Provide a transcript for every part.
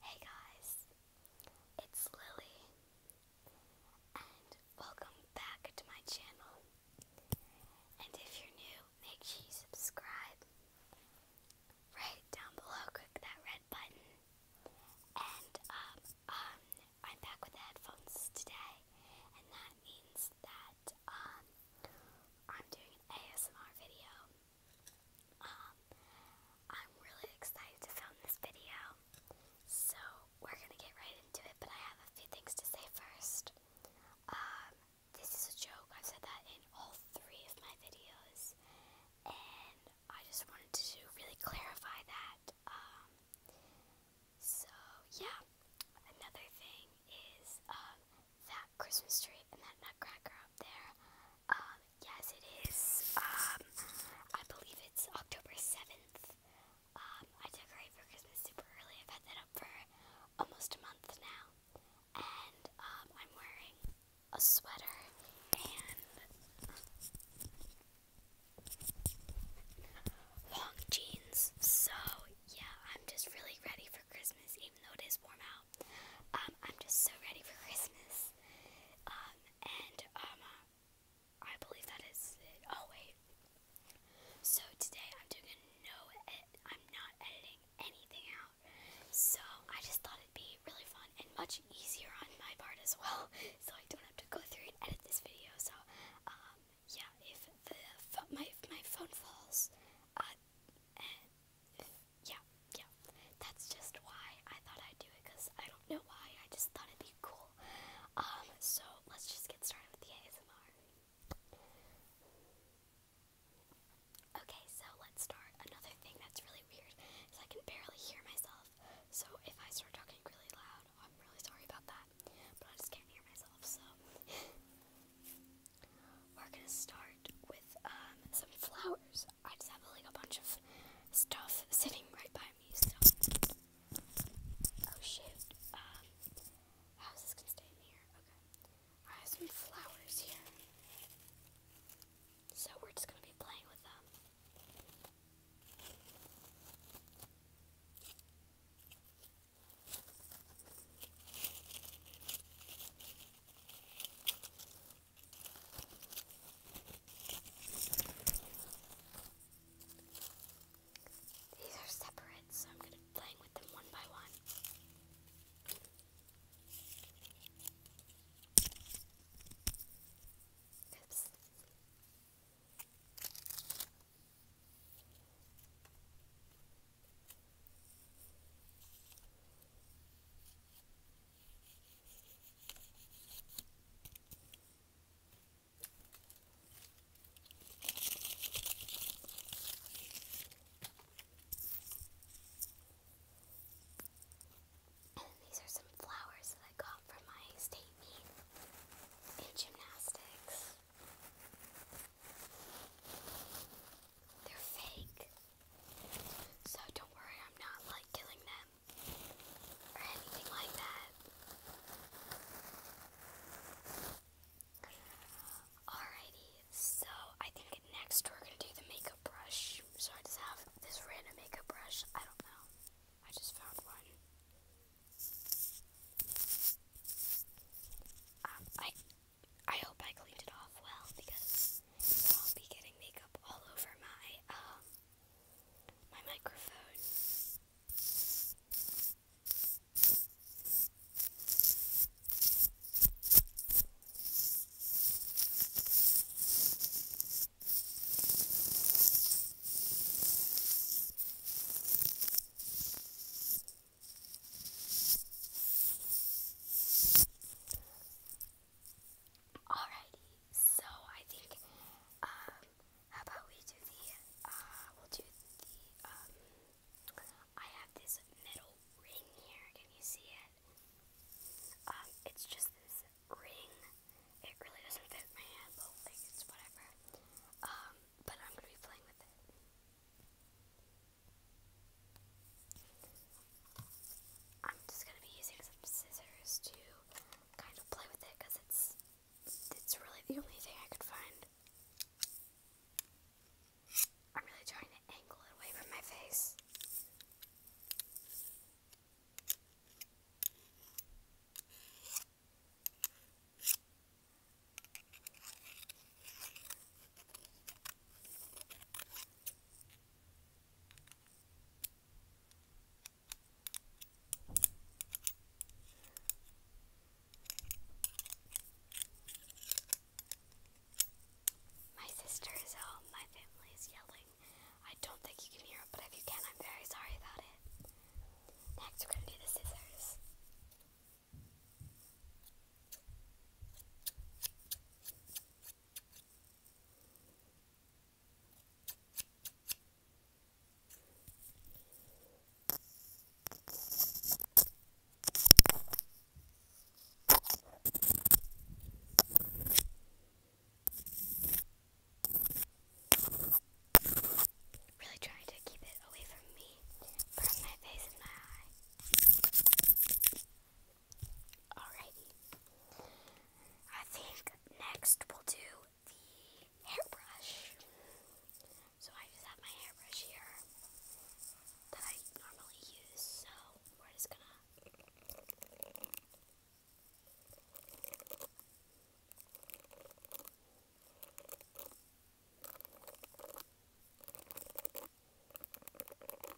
Hey guys, it's Lily, and welcome back to my channel. And if you're new, make sure you subscribe. Right down below, click that red button. And um, um, I'm back with the headphones today, and that means that um, I'm doing an ASMR video. Um, I'm really excited to film this video, so we're gonna get right into it, but I have a few things to say first. Um, this is a joke, I've said that in all three of my videos, and I just wanted to really clarify that. Um, so, yeah, another thing is that Christmas tree and that nutcracker up there. Um, yes, it is. Um, I believe it's October 7th. Um, I decorate for Christmas super early. I've had that up for almost a month now. And, I'm wearing a sweater and long jeans. So, yeah, I'm just really ready for Christmas, even though it is warm out. I'm just so ready for Christmas. Um, and, um, uh, I believe that is it. Oh, wait. So today I'm doing no edit. I'm not editing anything out. So I just thought it'd be really fun and much easier on my part as well. So I don't have to go through and edit this video. So, um, yeah, if the, my, my phone falls, uh, yeah, yeah. That's just why I thought I'd do it because I don't know why. I just thought it'd be cool. Um, so let's just get started with the ASMR. Okay, so let's start. Another thing that's really weird is I can barely hear myself. So if I start talking really loud, I'm really sorry about that. But I just can't hear myself, so we're gonna start with um, some flowers. I just have like a bunch of stuff sitting right by me, Oh shit. Um, how is stay in here? Okay. I have some flowers here. So we're just gonna be playing with them. These are separate, so I'm going to be with them one by one. And these are some flowers that I got from my state meet in gymnastics. They're fake. So don't worry, I'm not like killing them or anything like that. Alrighty, so I think next we're gonna do the makeup brush. So I just have this random makeup brush. I don't know. I just found one. Um, I I hope I cleaned it off well because I'll be getting makeup all over my um my microphone. Alrighty, so I think, um, how about we do the, uh, we'll do the, um, I have this metal ring here. Can you see it? Um, it's just this ring. It really doesn't fit my hand, but like, it's whatever. but I'm gonna be playing with it. I'm just gonna be using some scissors to kind of play with it because it's it's really the only thing I could find. I'm really trying to angle it away from my face. My sister is home. My family is yelling. I don't think you can hear it, but if you can, I'm very sorry about it. Next, we're going to do the scissors. Really trying to keep it away from me, from my face and my eye. Alrighty. I think next we'll do the hairbrush. So I just have my hairbrush here that I normally use, so we're just gonna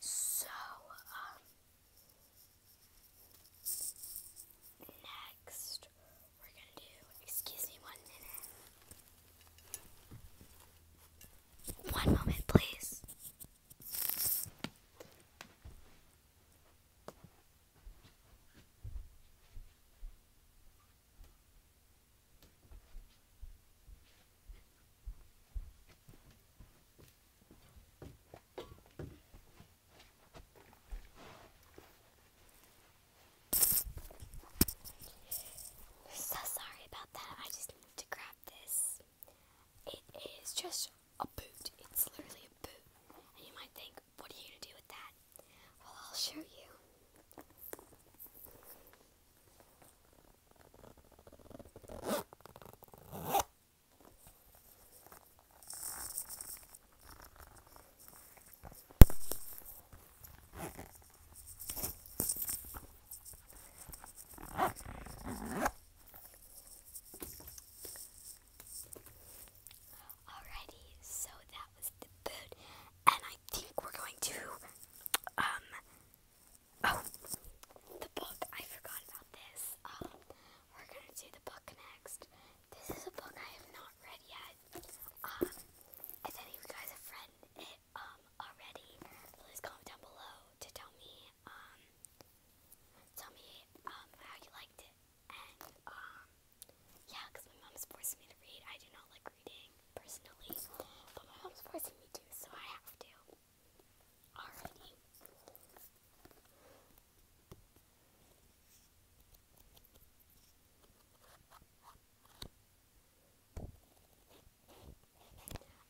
So, um, next we're gonna do, excuse me one minute. One moment, please. So sorry about that. I just need to grab this. It is just a boot. It's literally a boot. And you might think, what are you going to do with that? Well, I'll show you. Alrighty, so that was the food, and I think we're going to um Oh, the book. I forgot about this. Um, we're gonna do the book next. This is a book I have not read yet. Um, if any of you guys have read it um already, please comment down below to tell me um tell me um how you liked it and um yeah, because my mom's forcing me to read. I do not like reading personally, but my mom's forcing me to, so I have to. Alrighty.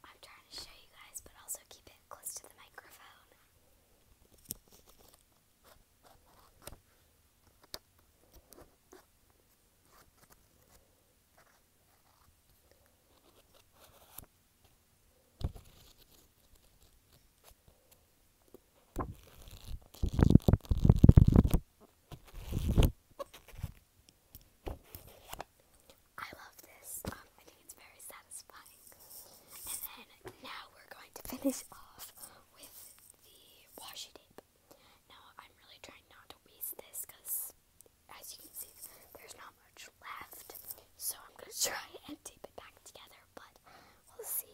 I'm trying to show you guys, but also keep it close to the microphone. I love this. Um, I think it's very satisfying. And then now we're going to finish off with the washi tape. Now I'm really trying not to waste this because as you can see, there's not much left. So I'm going to try and tape it back together, but we'll see.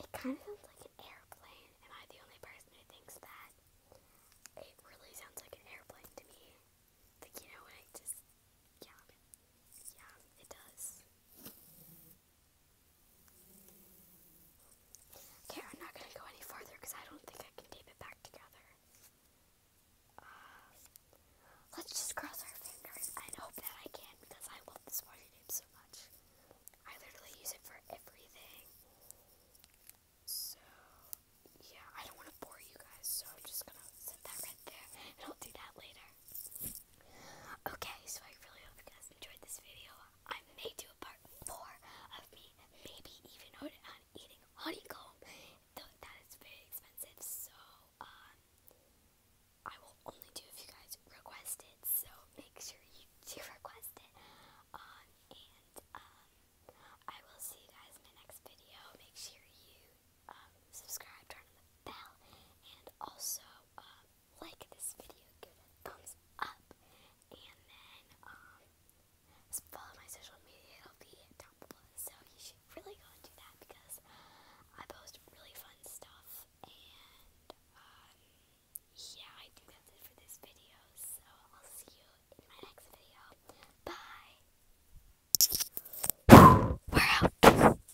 It kind of sounds like an airplane. Am I the only person who thinks that? It really sounds like an airplane to me. Like, you know, when it just yeah. Yeah, it does. Okay, I'm not gonna go any farther because I don't think I can tape it back together. Uh, let's just cross our fingers and hope that I can because I love this washi tape so much. I literally use it for everything. So, yeah, I don't want to bore you guys, so I'm just gonna set that right there and I'll do that later. Okay, so I really hope you guys enjoyed this video. I may do a part four of me, maybe even on eating honeycomb, that is very expensive. So um, I will only do if you guys request it. So make sure you do request it. Um, and um, I will see you guys in my next video. Make sure you um, subscribe, turn on the bell, and also um, like this video, give it a thumbs up, and then um, follow my social media. It'll be down below, so you should really go and do that because I post really fun stuff. And um, yeah, I think that's it for this video. So I'll see you in my next video. Bye.